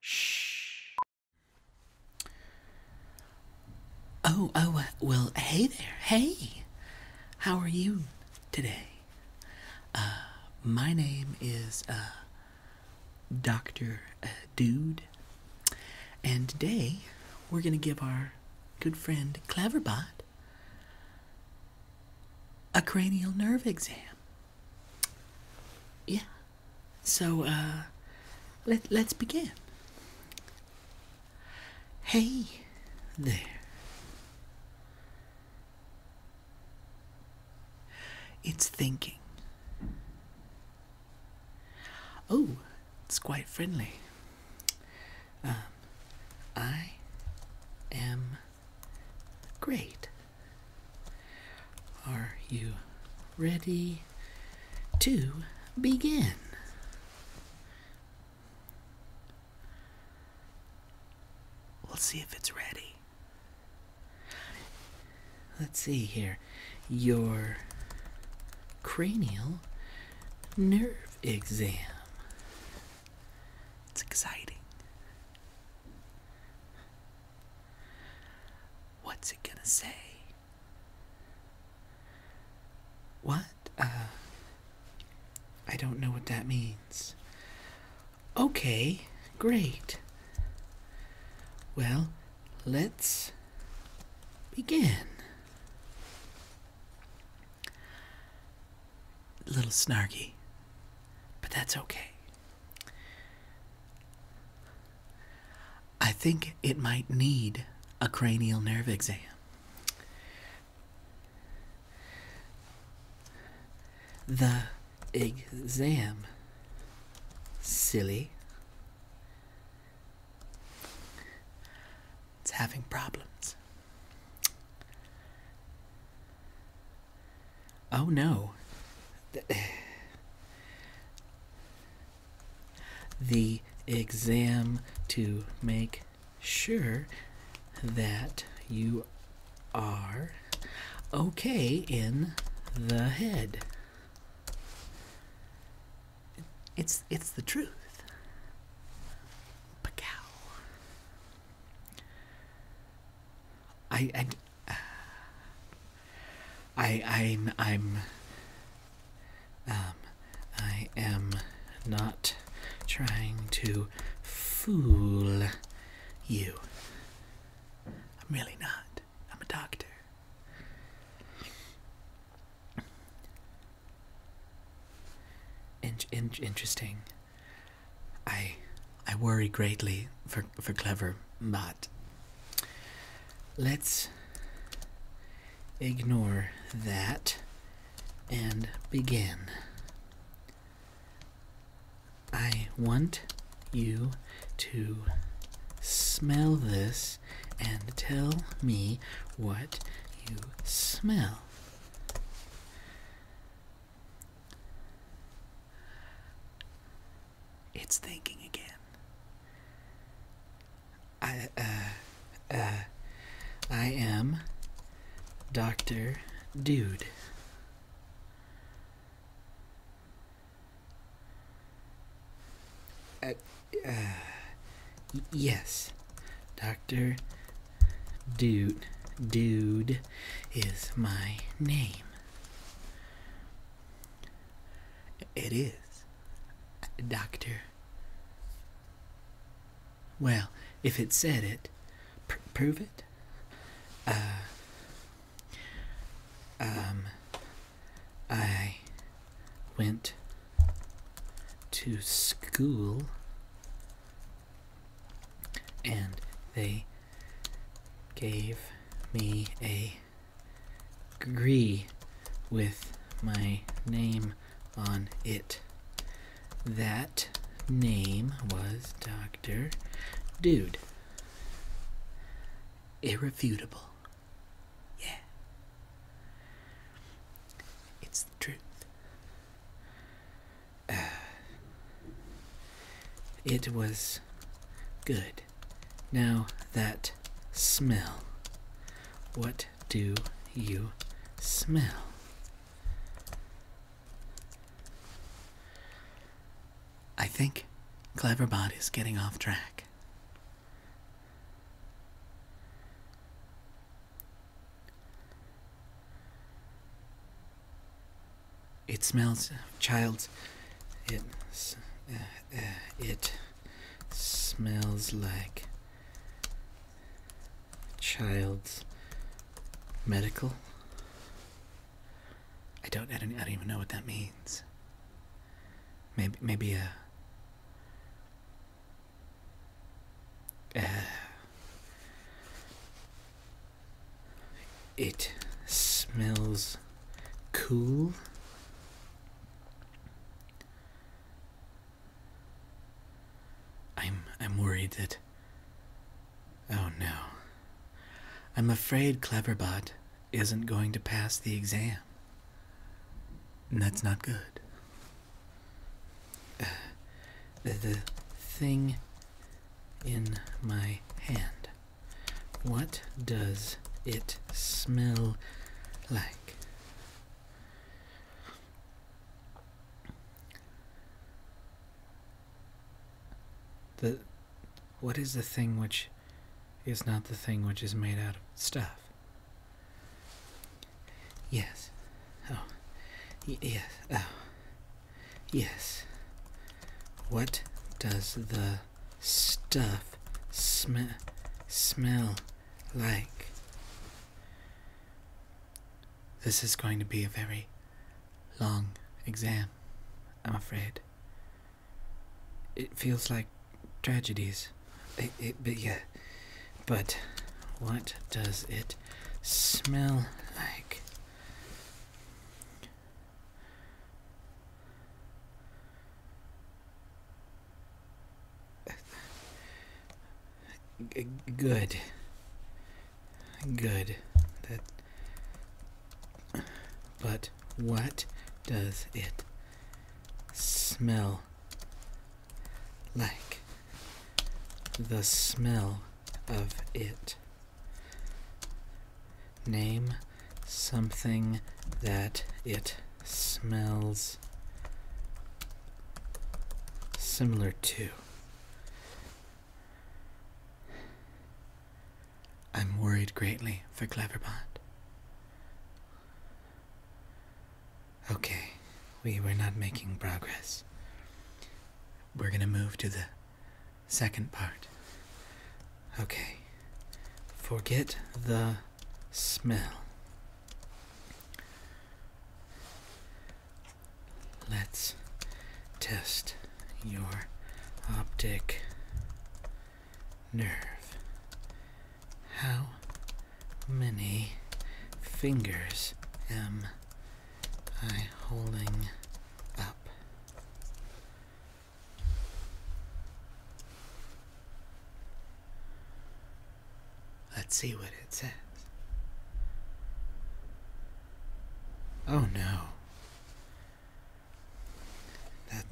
Shh. Oh, oh, uh, well, hey there. Hey. How are you today? Uh, my name is uh, Dr. Dude, and today we're going to give our good friend Cleverbot a cranial nerve exam yeah so uh, let, us begin hey there it's thinking oh it's quite friendly um, i am Great. Are you ready to begin? Let's see if it's ready. Let's see here. Your cranial nerve exam. It's exciting. What's it gonna say? What? Uh, I don't know what that means. Okay, great. Well, let's begin. A little snarky, but that's okay. I think it might need a cranial nerve exam. The exam, silly. It's having problems. Oh no. The, exam to make sure that you are okay in the head. It's it's the truth. Pacow. I, I, I, I'm, I'm, um, not trying to fool you. I'm really not. I'm a doctor. In in interesting. I I worry greatly for for clever, but let's ignore that and begin. I want you to smell this and tell me what you smell. It's thinking again. I uh, uh I am Doctor Dude. Uh, uh, yes, Doctor Dude, dude is my name. It is. Doctor. Well, if it said it, prove it. Uh, um, I went to school and they gave me a gree with my name on it. That name was Dr. Dude. Irrefutable. Yeah. It's the truth. It was good. Now that smell. What do you smell? I think Cleverbot is getting off track. It smells, child. It, uh, uh, it smells like child's medical. I don't, I don't, I don't even know what that means. Maybe, maybe a It smells cool. I'm I'm worried that Oh no. I'm afraid Cleverbot isn't going to pass the exam. And that's not good. the, the thing in my hand. What does it smell like? The what is the thing which is not the thing which is made out of stuff? Yes. Oh. yes. Oh. Yes. What does the stuff smell like? This is going to be a very long exam, I'm afraid. It feels like tragedies but yeah, but what does it smell like? good. Good. That. But what does it smell like the smell of it. Name something that it smells similar to. I'm worried greatly for Cleverbond. Okay, we were not making progress. We're gonna move to the second part. Okay, forget the smell. Let's test your optic nerve. How many fingers am I holding up? Let's see what it says. Oh no. That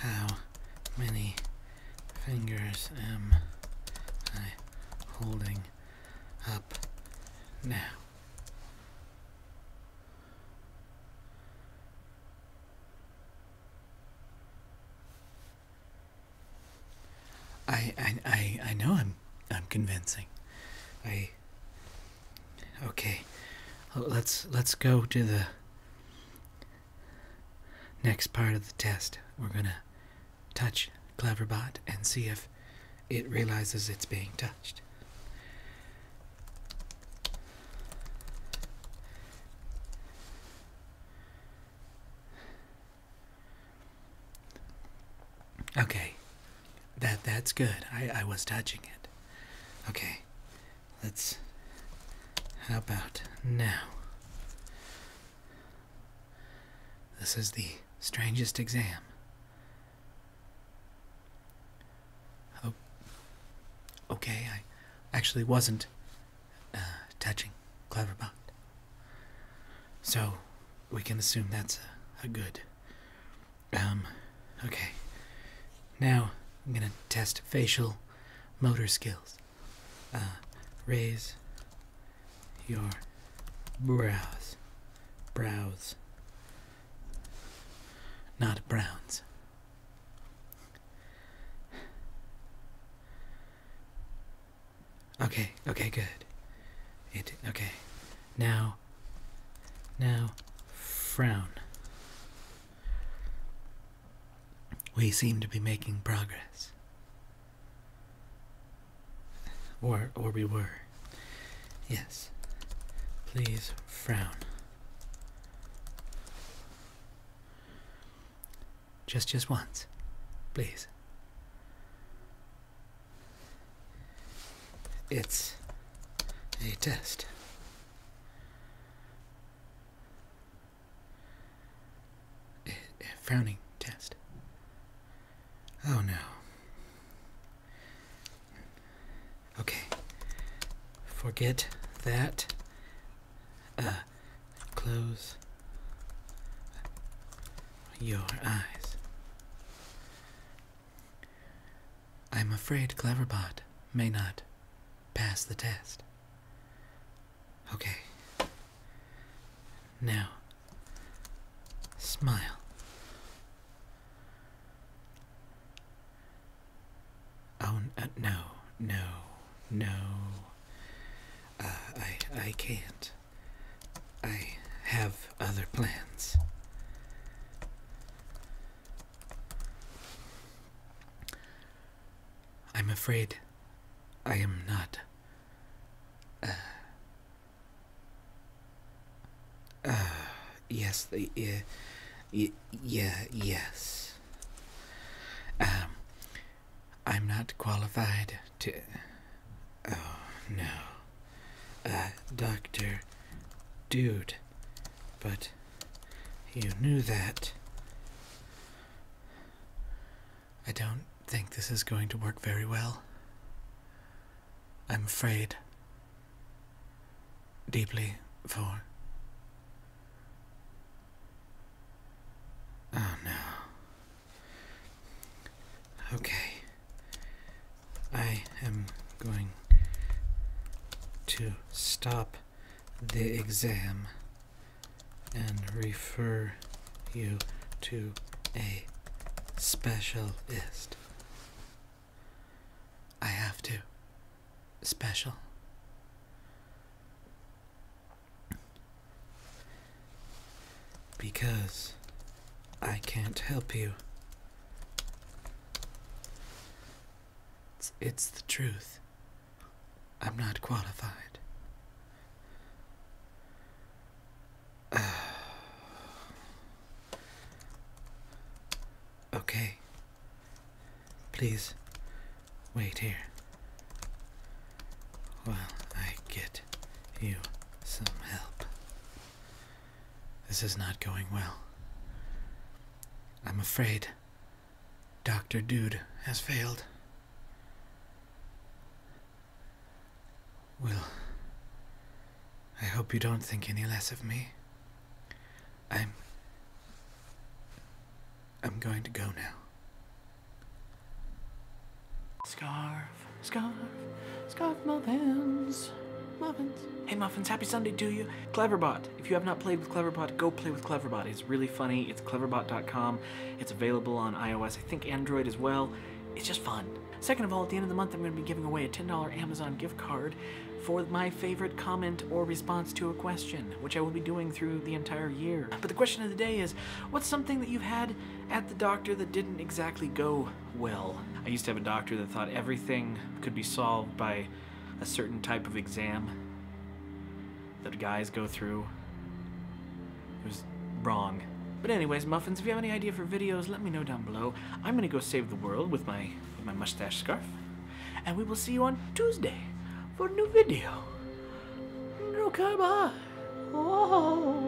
how many fingers am I holding up now? I, I, I, I know I'm I'm convincing. I Okay, uh, let's let's go to the next part of the test. We're gonna touch Cleverbot and see if it realizes it's being touched. Okay. That that's good. I, I was touching it. Okay. Let's how about now? This is the strangest exam. Oh, okay, I actually wasn't uh, touching Cleverbot. So we can assume that's a good um, okay. Now I'm gonna test facial motor skills. Uh, raise your brows. Brows. Not browns. Okay, okay, good. It okay. Now now. frown. We seem to be making progress. Or, or we were. Yes. Please frown. Just, just once. Please. It's a test. A, frowning test. Oh no. Okay. Forget that. Uh, close your eyes. I'm afraid Cleverbot may not pass the test. Okay. Now, smile. Oh, uh, no, no, no. Uh, I, I can't. I have other plans. I'm afraid I am not. Uh, uh, yes, the, uh, yeah, yes. Um, I'm not qualified to. Oh no. Uh, Doctor. Dude. But. You knew that. I don't think this is going to work very well. I'm afraid. Deeply for. Oh no. Okay. I am going to stop the exam and refer you to a specialist. I have to. Special. Because I can't help you. It's, the truth. I'm not qualified. okay. Please, wait here. Well, I get you some help. This is not going well. I'm afraid Dr. Dude has failed. Well, I hope you don't think any less of me. I'm. I'm going to go now. Scarf, scarf, scarf muffins, muffins. Hey muffins, happy Sunday do you. Cleverbot, if you have not played with Cleverbot, go play with Cleverbot. It's really funny, it's cleverbot.com. It's available on iOS, I think Android as well. It's just fun. Second of all, at the end of the month, I'm gonna be giving away a $10 Amazon gift card for my favorite comment or response to a question which I will be doing through the entire year. But the question of the day is, what's something that you've had at the doctor that didn't exactly go well? I used to have a doctor that thought everything could be solved by a certain type of exam that guys go through. It was wrong. But anyways, Muffins, if you have any idea for videos, let me know down below. I'm gonna go save the world with my, with my mustache scarf. And we will see you on Tuesday for a new video. No, come on. Whoa.